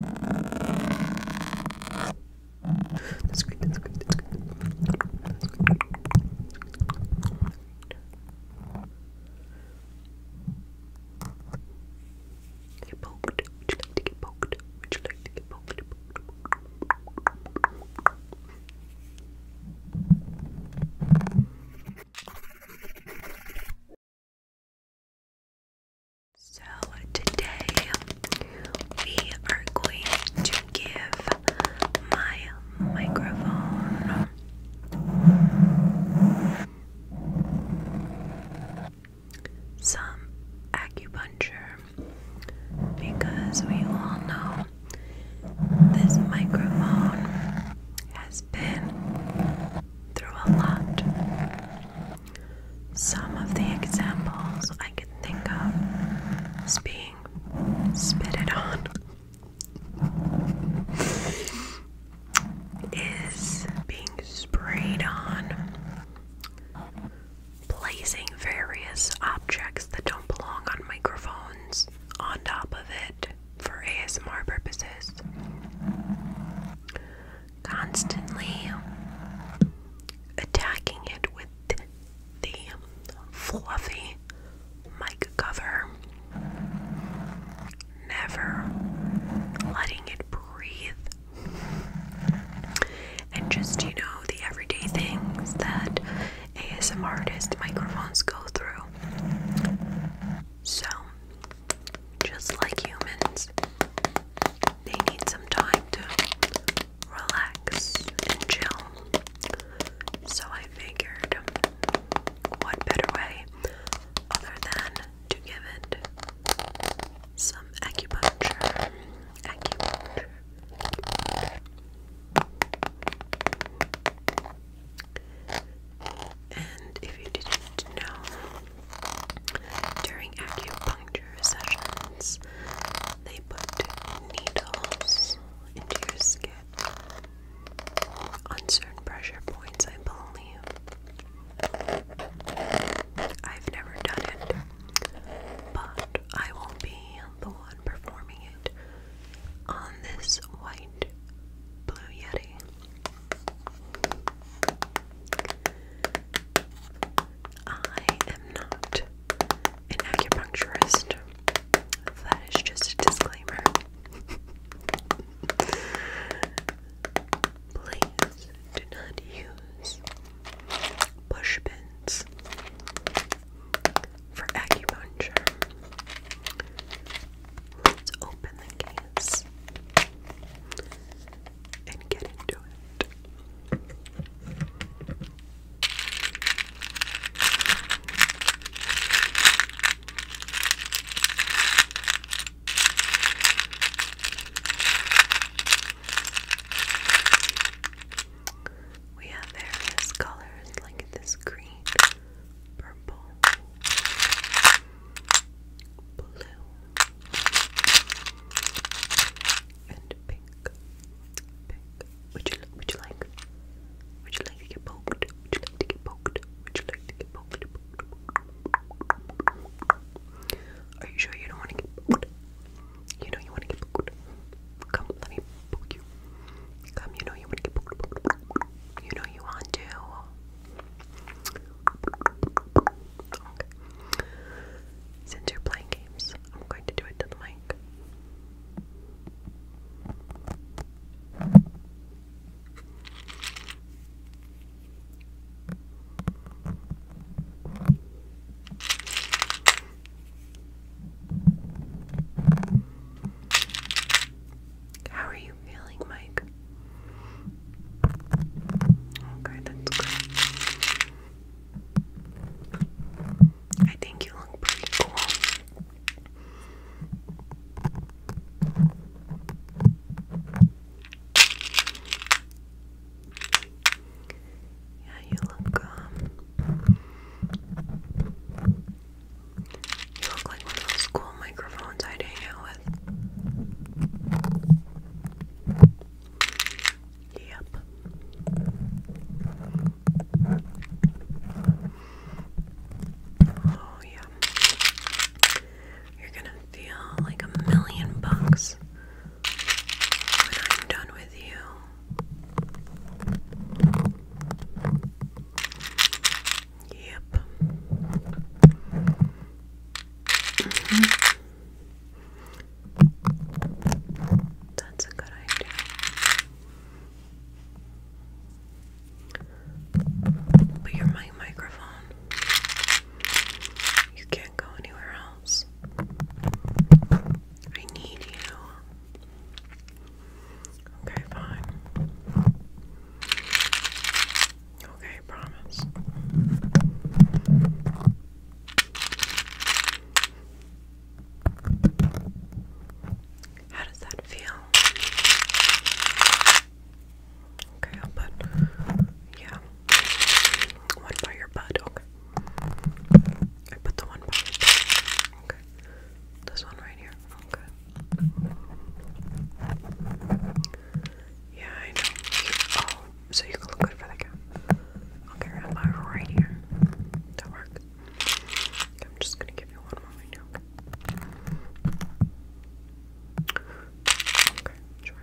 That's great, that's great, that's great. Get poked. Would you like to get poked? Would you like to get poked? So today we are going to give my microphone some acupuncture because we all know this microphone has been through a lot some of the examples I can think of is being spitted on is being sprayed on, placing various objects that don't belong on microphones on top of it for ASMR purposes constantly attacking it with the fluffy mic cover, never letting it breathe, and just you know, the everyday things that ASM artist microphones go through. So, just like humans, they need some time to relax and chill. So I figured, what better way other than to give it some acupuncture? Acupuncture. And if you didn't know, during acupuncture sessions, they put needles into your skin on certain pressure points, I believe. I've never done it, but I won't be the one performing it on this white Blue Yeti. I am not an acupuncturist. That is just a disclaimer. Please do not use push for acupuncture. Let's open the case and get into it. We have various colors like this green, purple, blue and pink. Pink. Would you like? Would you like to get poked? Would you like to get poked? Would you like to get poked? Are you sure you don't want to get poked? You know you want to get poked. Come, let me poke you. Come, you know you want to get poked. You know you want to. Since you're playing games, I'm going to do it to the mic. How are you feeling, Mike? Okay, that's good. I think you look pretty cool. Yeah, you look um you look like one of those cool microphones I'd hang out with. Yep. Oh, yeah. You're gonna feel like a million bucks when I'm done with you. Yep. Mm-hmm. That's a good idea. But you're my microphone. You can't go anywhere else. I need you. Okay, fine. Okay, promise. How does that feel? Okay, i yeah, one by your butt, okay. I put the one by okay. This one right here, okay. Yeah, I know. Oh, so you can look good for the cat. Okay, am I right here? That work? I'm just gonna give you one more Okay, sure.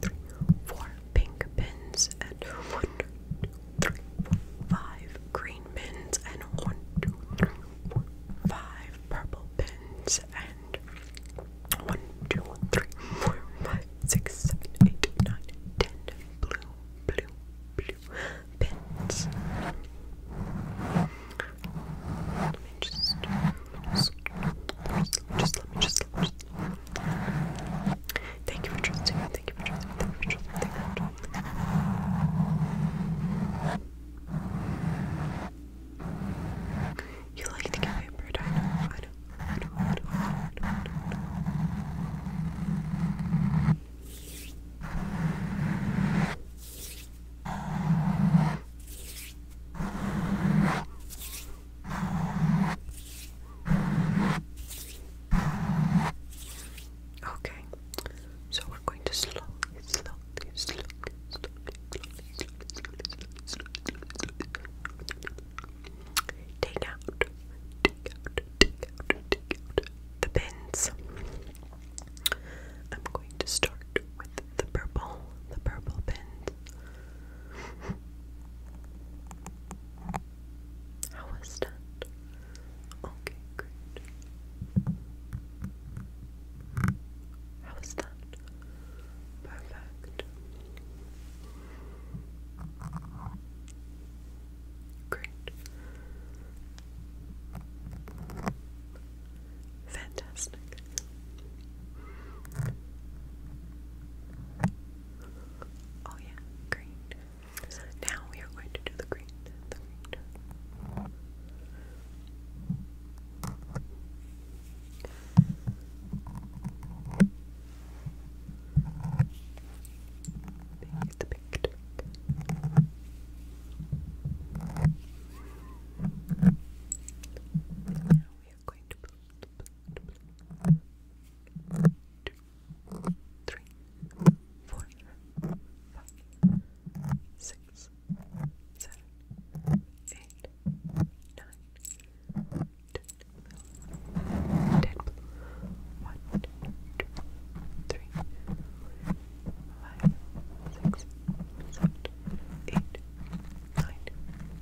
three, four pink pins, and one, two, three, four, five green pins, and one, two, three, four, five purple pins, and one, two, three, four, five, six, seven, eight, nine, ten blue, blue, blue pins. Let me just, just let me just Thank you for trusting me. Thank you for trusting me. Thank you for trusting me. you like to get pampered. I know. I know. I know. Okay, so we're going to slowly, slowly, slowly, slowly, slowly, slowly, slowly, slowly, slowly take out, take out, take out, take out the pins. I'm going to start with the purple, the purple pins. How was that? Okay, great. How was that? Perfect. Great. Fantastic. Oh yeah, green. Now we are going to do the green. The green. the pink. Now we are going to blend, blend, blend, two, three, four, five, six, seven, eight, nine, ten, ten, one, two, three, five, six, seven, eight, nine,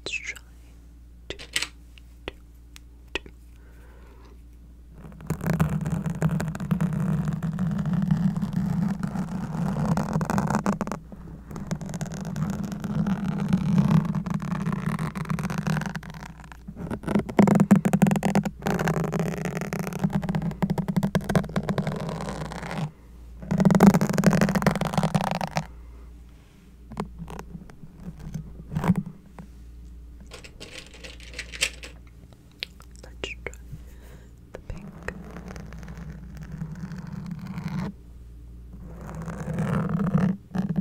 Let's try to, to, to. Let's try the pink.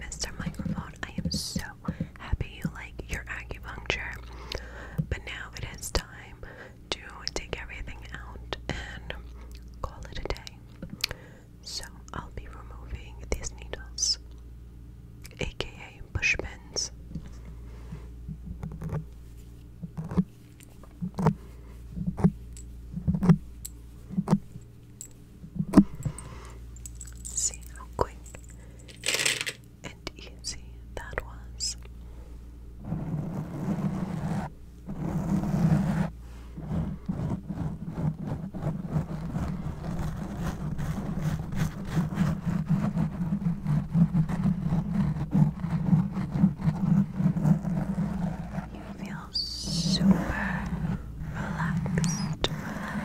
Mr. Microphone, I am so happy you like your acupuncture, but now it is time to take everything out and call it a day. So I'll be removing these needles, aka push See how quick and easy that was. You feel super relaxed, relaxed,